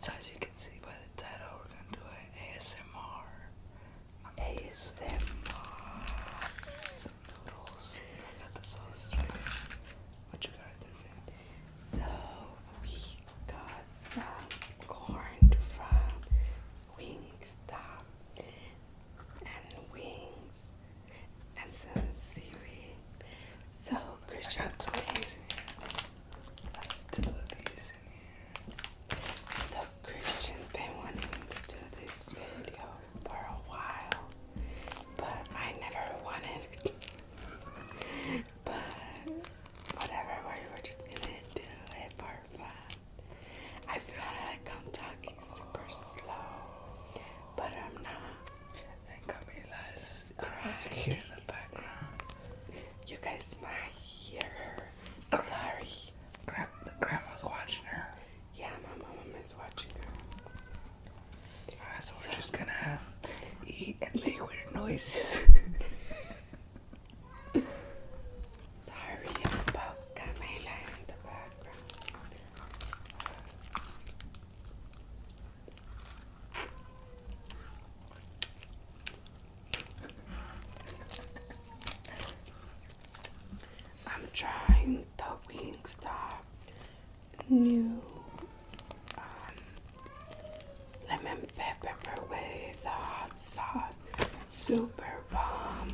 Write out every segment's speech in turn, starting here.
So as you can see by the title, we're gonna do an ASMR. ASMR. Some noodles. got the sausage. What you got there? So we got some corn from Wingstop and wings and some seaweed. So Chris dropped twenties I have two of So Christian's been wanting to do this video for a while, but I never wanted. but whatever, we were just gonna do it for fun. I feel like I'm talking super slow, but I'm not and Camila is crying in the background. You guys might hear her. Sorry. Gra grandma's watching her. Yeah, my mom is watching her. so, so we're just gonna eat and make weird noises. Sorry about Camila in the background. I'm trying the Wingstop new um, lemon pepper with hot uh, sauce. Super bomb.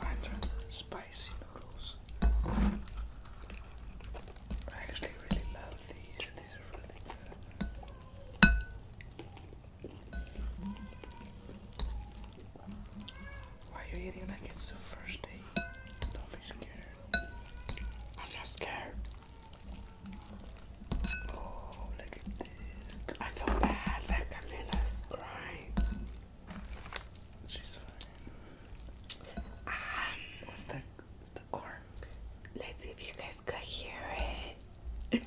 I love spicy noodles. I actually really love these. These are really good. Why are you eating like it's the first day? Don't be scared. I'm not scared. Oh, look at this. I feel bad that Camila's crying. She's fine. Um, What's the, the cork? Let's see if you guys could hear it.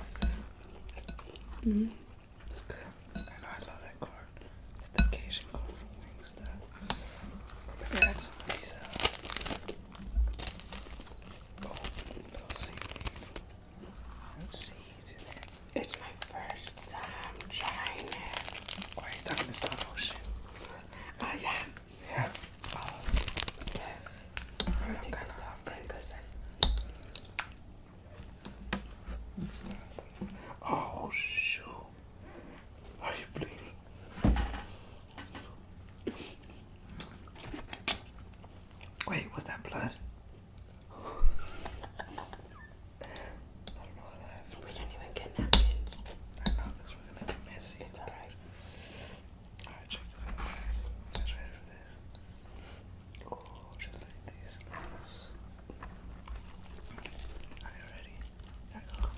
-hmm. It's good. And I love that card. It's the Cajun card from Wingstop. Maybe add some of these out. Oh, no seaweed. No It's my first time trying it. are you talking to slow motion? Oh, yeah. Yeah. Oh, Oh, shoot. Are you bleeding? Wait, was that blood? I don't even get napkins. I know, that's really like messy. It's alright. Alright, check this out, guys. You ready for this? Oh, just like these nails. Are you ready? Here I go.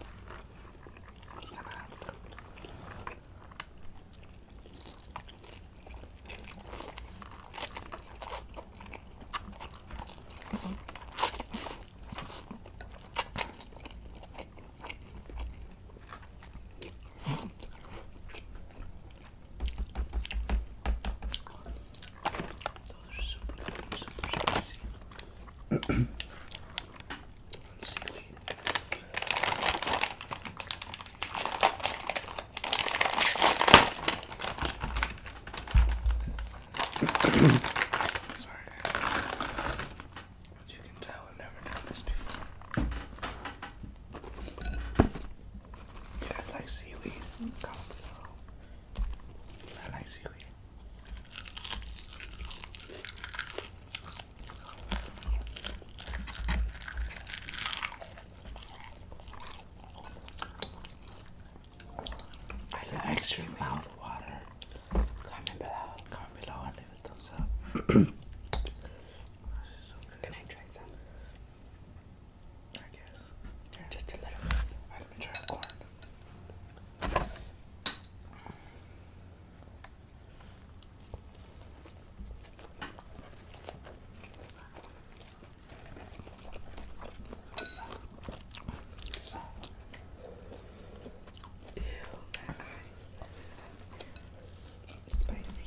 It's gonna have to come. Those are super spicy. But you can tell I've never done this before. Yeah, I like seaweed. I like seaweed. I like extra mouth water. Comment below. Comment below and leave a thumbs up. this is so good. Can I try some? I guess. Yeah. Just a little. Alright, let me try a corn. Ew, my Spicy.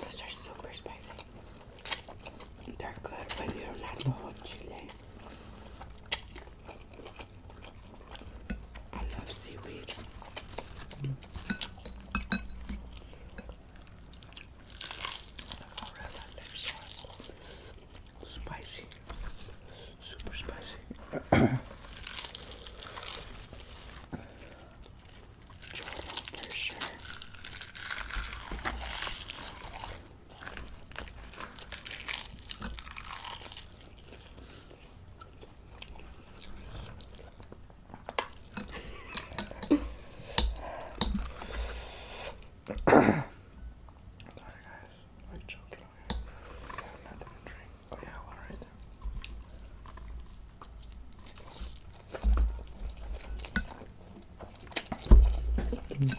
Those are super spicy. They're good when you don't have the whole chili. I love seaweed. Mm. I rather love Spicy. Super spicy. Jordan for sure. God, guys, I'm joking. I have nothing to drink. Oh yeah, one right there. Mm.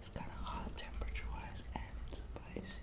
It's kind of hot temperature wise and spicy.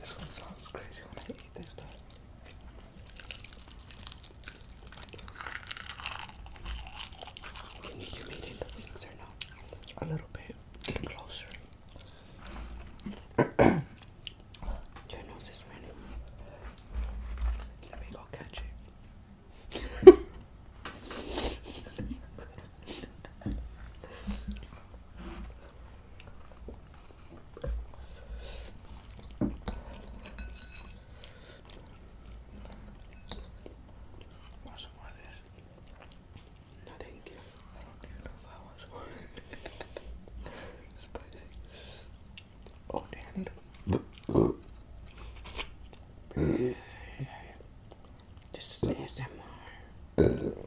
This one sounds crazy when I eat this you the wings or not? A little bit. Get closer. Your nose is running. Let me go catch it. Want more of this? No, thank you. I don't even know if I want some more. Spicy. Oh, Danny. This is ASMR.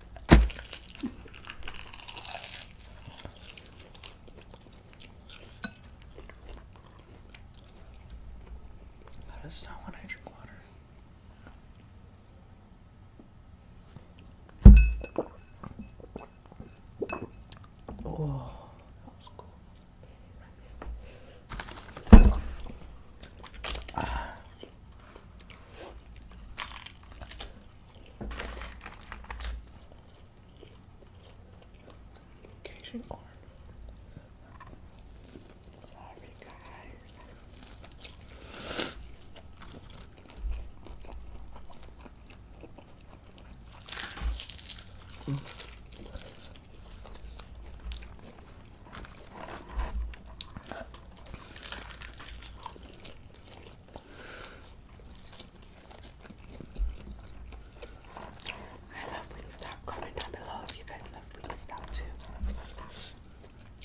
That is not when I drink water. Oh, that was cool. Ah, Location arm. Sorry, guys. Mm. I love Wingstop. Comment down below if you guys love Wingstop too.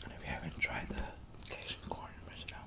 And if you haven't tried the Cajun corn, miss it out.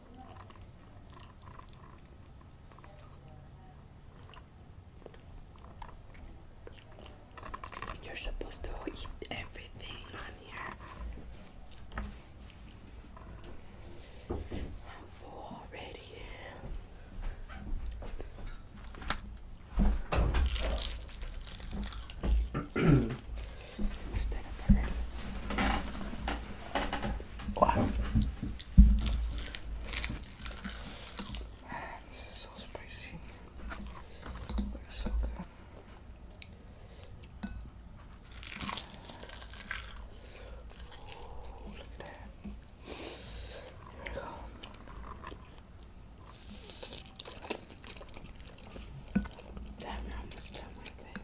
You're supposed to eat everything on here. I'm full already. Wow. This is so spicy. so good. look at that. Here we go. Damn, I'm just done my thing.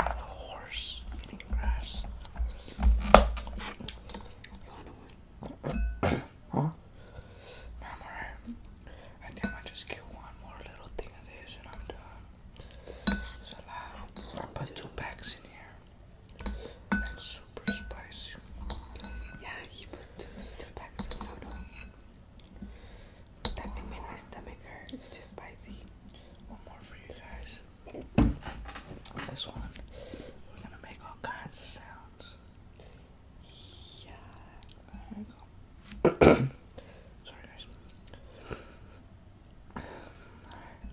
A horse eating grass. huh? i I think I just get one more little thing of this and I'm done. I put two packs in here. That's super spicy. Yeah, he put two, two packs of noodles. That made my stomach hurt. It's too spicy. One more for you guys. This one, we're gonna make all kinds of sounds. Yeah. There we go. Sorry, guys.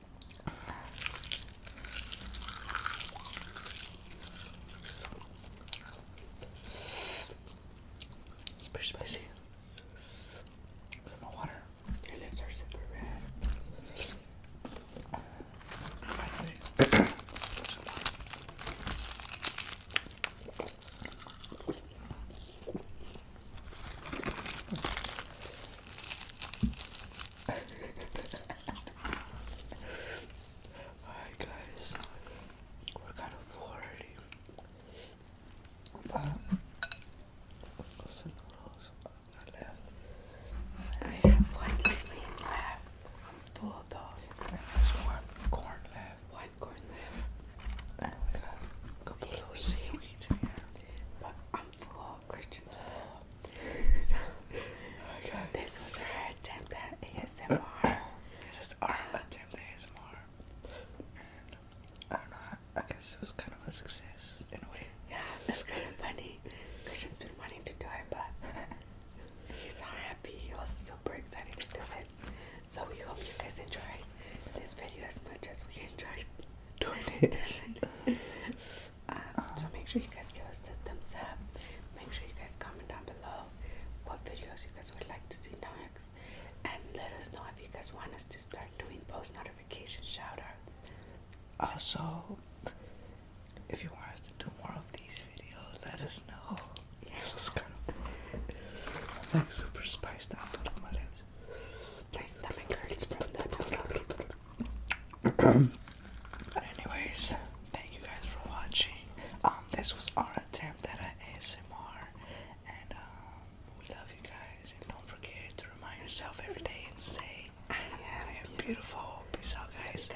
It's pretty spicy. Look my water. Your lips are super red. Alright, guys, we're kind of already. Um, I have one green left. Full of those. one corn left. One corn left. And we got a couple seaweed floor, Christian floor. This was her attempt at ASMR. this is our attempt at ASMR. And I don't know, I guess it was kind of a success in a way. Yeah, it's kind of funny. Christian's been wanting to do it, but he's so happy. He was super excited to do it. So we hope you guys enjoyed this video as much as we enjoyed doing it. Um, so make sure you guys give us a thumbs up. Make sure you guys comment down below what videos you guys would like to see next, and let us know if you guys want us to start doing post notification shoutouts. Also, if you want us to do more of these videos, let us know. Yeah. It was kind of super spiced out on my lips. My stomach hurts But anyways, thank you guys for watching. Um, this was our attempt at an ASMR, and um, we love you guys. And don't forget to remind yourself every day and say, "I am, beautiful. Peace out, guys.